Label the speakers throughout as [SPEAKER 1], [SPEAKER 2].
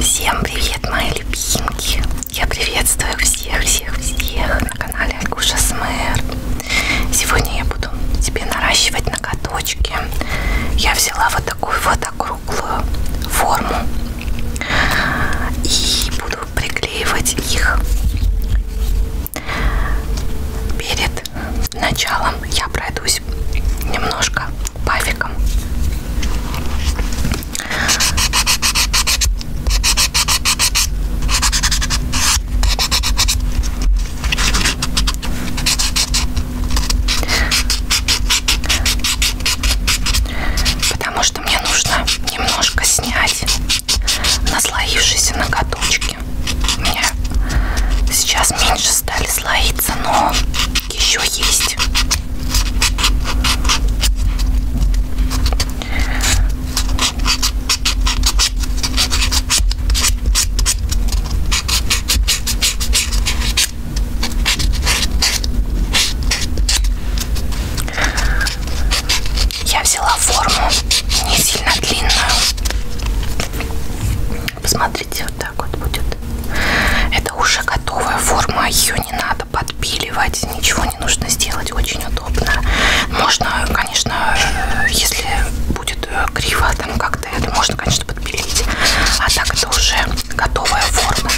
[SPEAKER 1] Всем привет, мои любимки! Я приветствую всех, всех, всех на канале Алькуша СМР. Сегодня я буду тебе наращивать ноготочки. Я взяла вот такую вот округлую форму и буду приклеивать их. Перед началом я пройдусь немножко пафиком. Потому что мне нужно немножко снять наслоившиеся ноготочки. У меня сейчас меньше стали слоиться, но еще есть. Я взяла форму не сильно длинную. Посмотрите, вот так вот будет. Это уже готовая форма, ее не надо подпиливать, ничего не нужно сделать, очень удобно. Можно, конечно, если будет э, криво там как-то, это можно, конечно, подпилить. А так это уже готовая форма.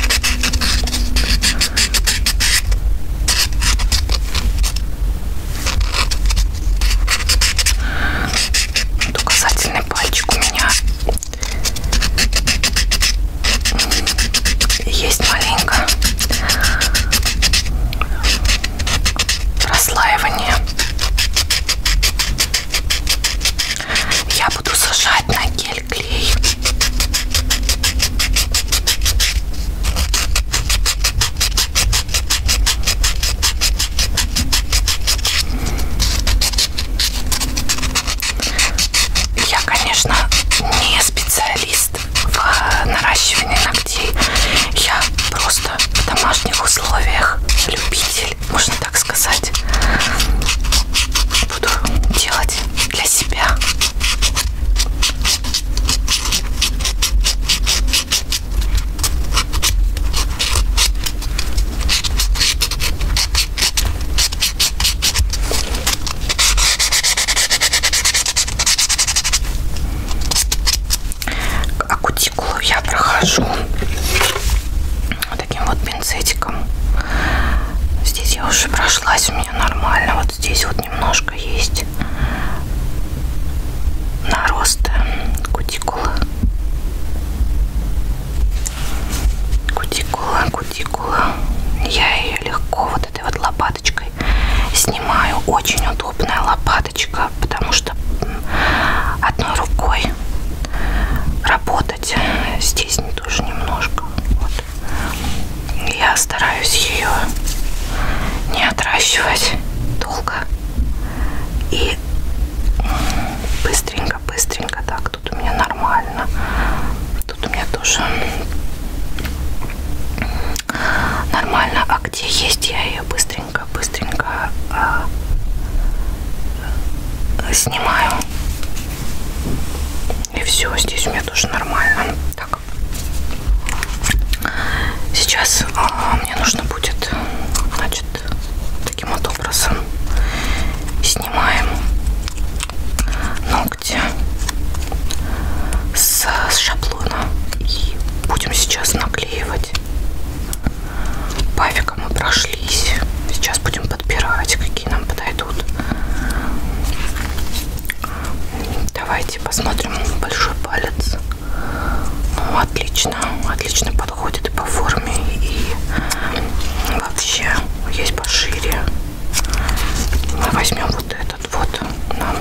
[SPEAKER 1] Указательный пальчик у меня есть маленько расслаивание. Я буду сажать на гель клей. Я, конечно, не специалист в э, наращивании ногтей. Я просто в домашних условиях любитель, можно так сказать. Буду делать для себя. А кутикулу я прохожу вот таким вот пинцетиком. Здесь я уже прошлась, у меня нормально. Вот здесь вот немножко есть нароста кутикулы кутикула, кутикула. Я ее легко вот этой вот лопаточкой снимаю. Очень удобная лопаточка, потому что одной рукой работать здесь тоже немножко. Вот. Я стараюсь ее не отращивать долго и быстренько быстренько, быстренько. Так, тут у меня нормально. Тут у меня тоже нормально. А где есть, я ее быстренько, быстренько а, э, снимаю. И все, здесь у меня тоже нормально. Так. Сейчас э, мне нужно будет, значит, таким вот образом снимаем ногти с шаблона и будем сейчас наклеивать пафиком мы прошлись сейчас будем подбирать какие нам подойдут давайте посмотрим большой палец ну, отлично отлично подбирать подходит по форме и вообще есть пошире. Мы возьмем вот этот вот, нам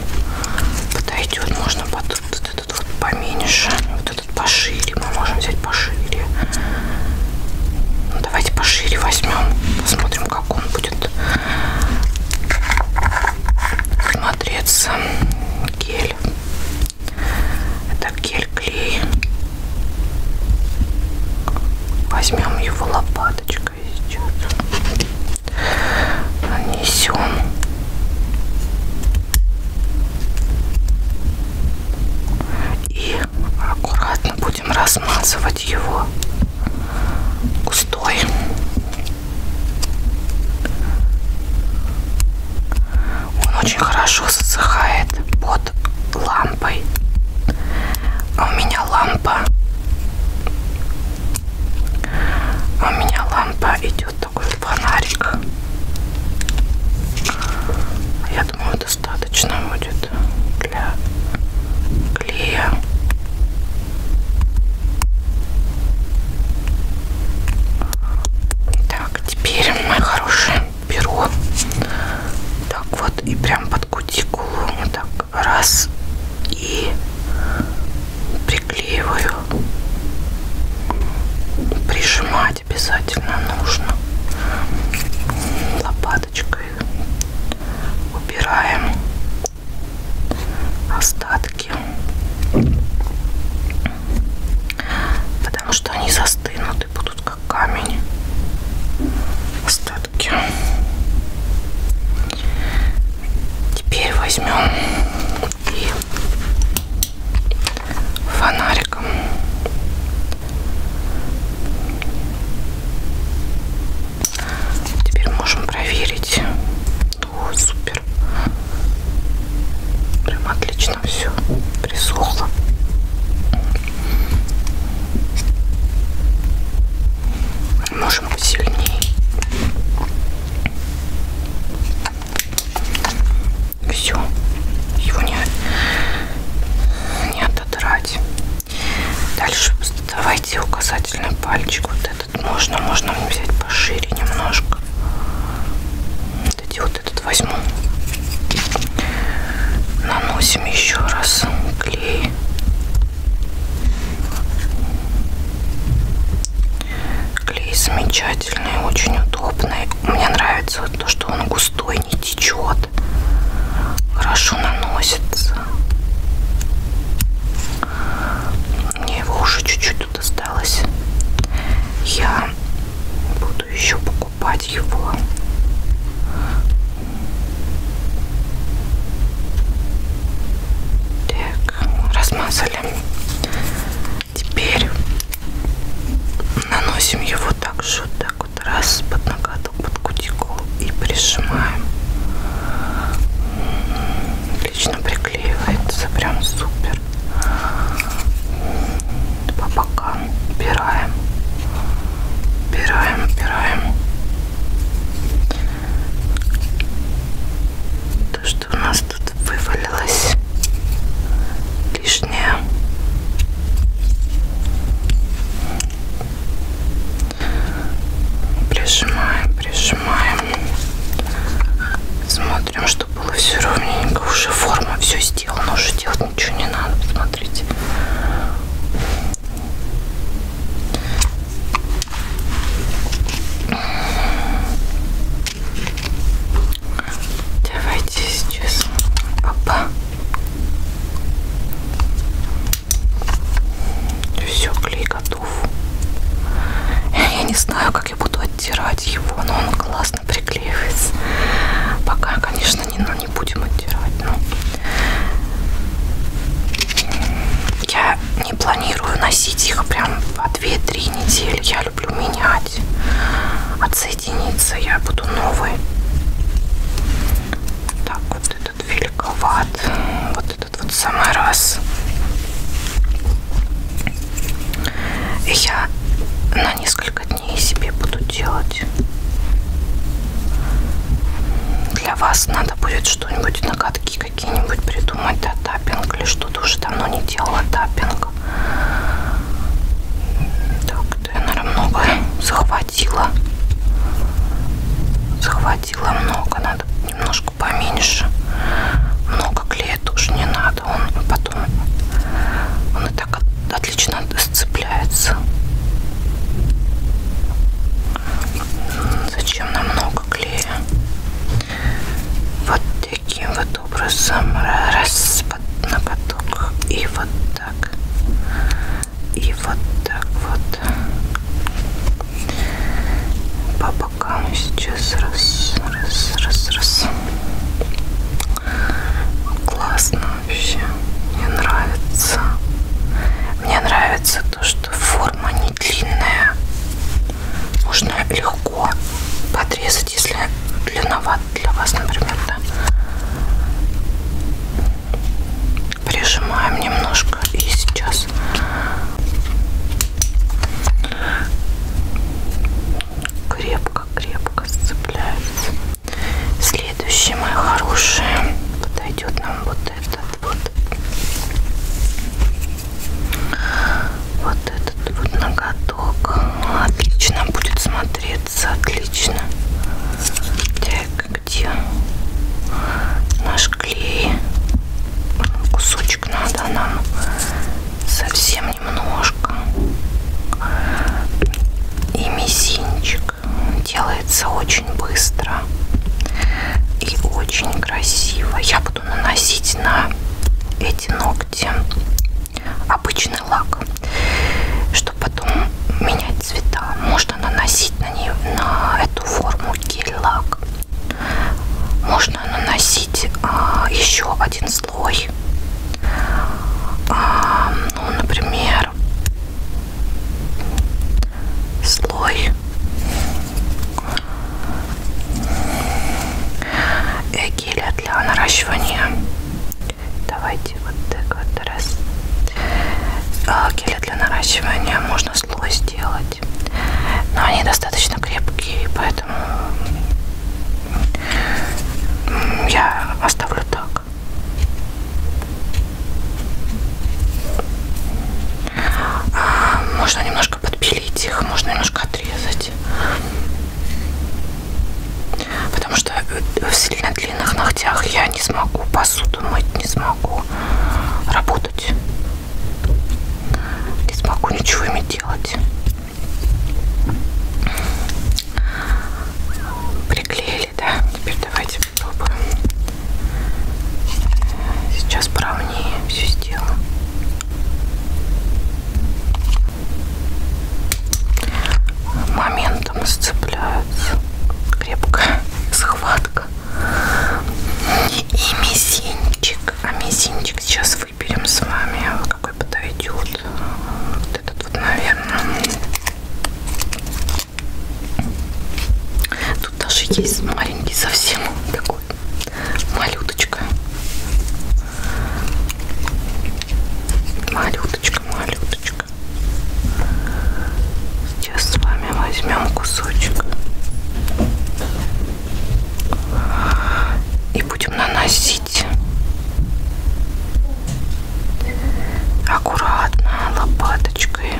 [SPEAKER 1] подойдет, можно под вот этот вот поменьше, вот этот пошире, мы можем взять пошире. Ну, давайте пошире возьмем, посмотрим, как он будет смотреться гель это гель-клей. Возьмем его лопаточкой сейчас. Нанесем. И аккуратно будем размазывать его густой. Он очень хорошо засыхает под лампой. А у меня лампа. А у меня лампа идет такой фонарик. Я думаю, достаточно будет для клея. Так, теперь, мои хорошие, перо так вот и прям под кутикулу вот так раз и приклеиваю прижимать обязательно нужно лопаточкой убираем остатки потому что они застынут и будут как камень остатки теперь возьмем и фонариком теперь можем проверить о супер прям отлично отлично все присохло. Можем посильнее. Все, его не, не отодрать. Дальше давайте указательный пальчик. Вот этот можно, можно взять пошире немножко вот эти вот этот возьму. Наносим еще раз клей. Клей замечательный, очень удобный. Мне нравится вот то, что он густой, не течет. Хорошо наносится. Мне его уже чуть-чуть тут осталось. Я буду еще покупать его. Так, размазали. Теперь наносим его также вот так вот раз под ноготок, под кутикулу и прижимаем. Отлично прикрепляем приклеивается прям супер по бокам убираем убираем убираем то что у нас тут вывалилось лишнее прижимаем прижимаем смотрим чтобы было все ровненько. Уже форма все сделана, уже делать ничего не надо. Смотрите. Давайте сейчас папа. Все, клей готов. Я не знаю, как как я буду оттирать его, но он классно приклеивается. Пока, конечно, не, ну, не будем оттирать, но я не планирую носить их прям по 2-3 недели. Я люблю менять. Отсоединиться я буду новый. Так, вот этот великоват. Вот этот вот самый раз. И я на несколько дней себе буду делать. Для вас надо будет что-нибудь, накатки какие-нибудь придумать, да, таппинг или что-то. Уже давно не делала таппинг. Так, да я, наверное, много захватила. Захватила много, надо немножко поменьше. Много клея тоже не надо надо. Он потом, он и так отлично сцепляется. Зачем нам много клея? Вот таким вот образом раз на поток и вот так и вот так вот по пока мы сейчас раз, раз, раз, раз. Классно вообще. Мне нравится. Мне нравится то, что форма не длинная. Можно легко подрезать, если длинноват для вас, например, да. Прижимаем немножко и сейчас крепко-крепко сцепляются. Следующий, мои хорошие, подойдет нам вот этот вот. Вот этот вот ноготок. Отлично будет смотреться, отлично. Так, где наш клей? Кусочек надо нам совсем немножко. И мизинчик делается очень быстро и очень красиво. Я буду наносить на эти ногти обычный лак, чтобы потом менять цвета. Можно наносить на нее на эту форму гель-лак. Можно нужно наносить а, еще один слой. А, ну, например, слой э, геля для наращивания. Давайте вот так вот раз. А, геля для наращивания можно слой сделать, но они достаточно крепкие, поэтому я оставлю так. А, можно немножко подпилить их, можно немножко отрезать. Потому что э, в сильно длинных ногтях я не смогу посуду мыть, не смогу работать. Не смогу ничего ими делать. Приклеили, да? Теперь давайте попробуем. Сейчас поровнее все сделаем. Моментом сцепляются. Крепкая схватка. И мизинчик. А мизинчик сейчас выберем с вами какой подойдет. Вот этот вот, наверное. Тут даже есть маленький совсем такой. Малюточка. Малюточка, малюточка. Сейчас с вами возьмем кусочек и будем наносить аккуратно лопаточкой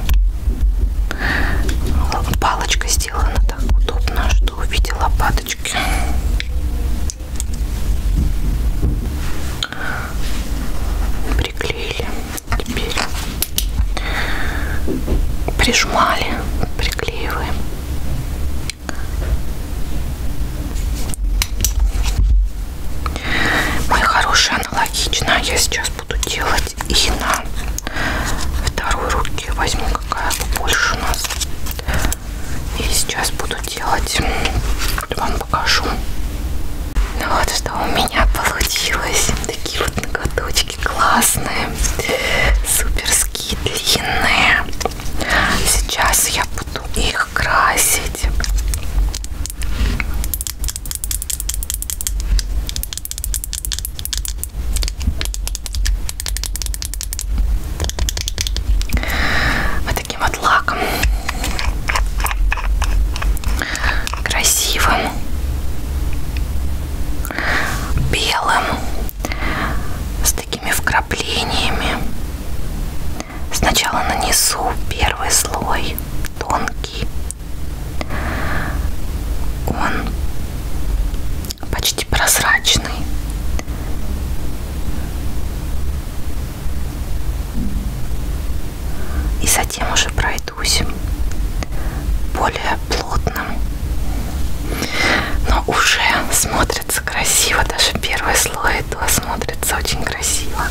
[SPEAKER 1] палочка сделана так удобно что в виде лопаточки приклеили теперь прижимали приклеиваем мой хороший аналогично я сейчас буду делать и на второй руке возьму какая побольше у нас. И сейчас буду делать, вам покажу. Ну вот что у меня получилось. Такие вот ноготочки ножки классные, суперские, длинные. Сейчас я буду их красить. Вот таким вот лаком. Красивым. Белым с такими вкраплениями. Сначала нанесу первый слой, тонкий. Он почти прозрачный. И затем уже пройдусь более плотным. Но уже смотрится красиво, даже первый слой этого смотрится очень красиво.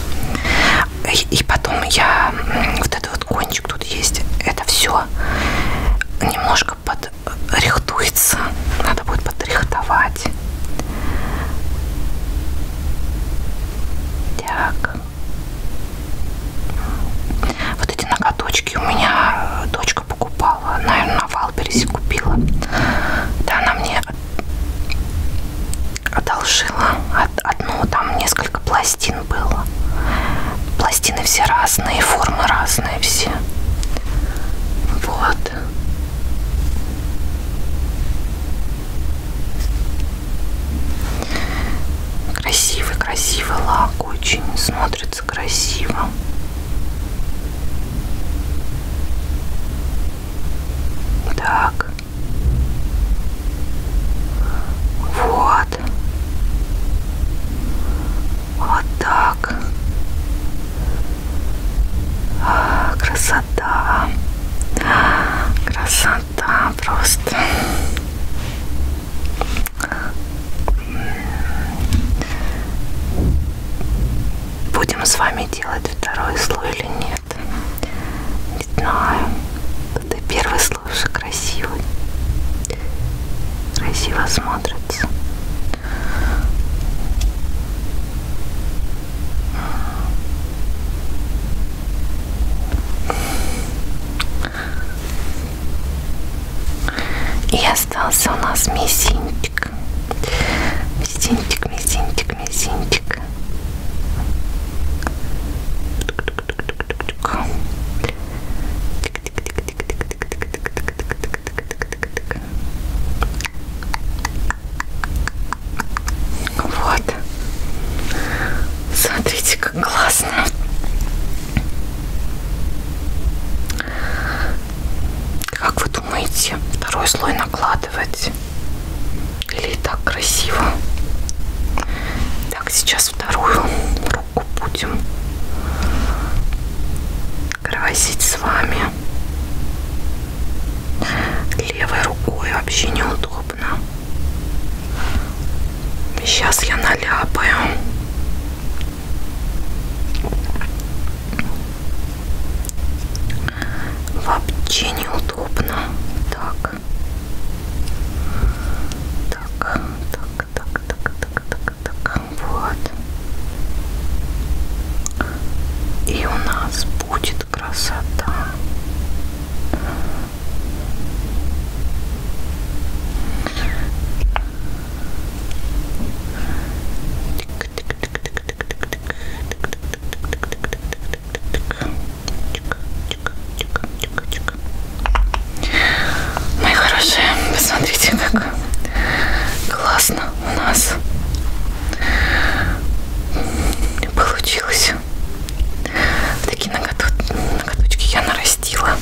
[SPEAKER 1] И, и потом я вот этот вот кончик тут есть, это все немножко подрихтуется. Надо будет подрихтовать. Так. Вот эти ноготочки у меня э, дочка дочка покупала, наверное, на Валбересе купила. Да, она мне одолжила одну, там несколько пластин было. Пластины все разные, формы разные все. Вот. Красивый, красивый лак, очень смотрится получится красиво. Так. Вот. Вот так. А, красота. Красота просто. Будем с вами делать второй слой или нет? Не знаю. Это первый слой уже красивый. Красиво смотрится. И остался у нас мизинчик. Мизинчик, мизинчик, мизинчик. Вот. Смотрите, как классно. Как вы думаете, второй слой накладывать? Или и так красиво? Так, сейчас вторую руку будем красить с вами. Левой рукой вообще неудобно. Сейчас я наляпаю. Вообще неудобно. Так. Так, так, так, так, так, так, так. Вот. И у нас будет красота. Мои хорошие, посмотрите, как классно у нас получилось. Такие ноготочки я нарастила.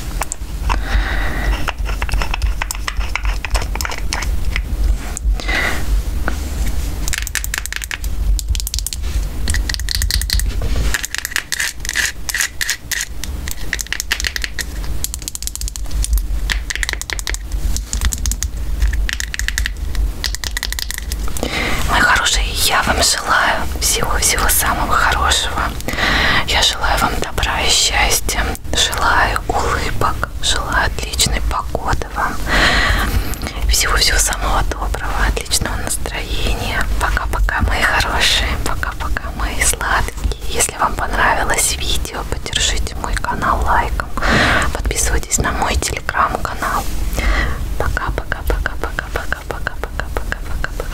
[SPEAKER 1] Мои хорошие, я вам желаю всего-всего самого хорошего дня. Я желаю вам добра и счастья. Желаю улыбок. Желаю отличной погоды вам. Всего-всего самого доброго, отличного настроения. Пока-пока, мои хорошие. Пока-пока, мои сладкие. Если вам понравилось видео, поддержите мой канал лайком. Подписывайтесь на мой телеграм-канал. Пока-пока-пока-пока-пока-пока-пока-пока-пока.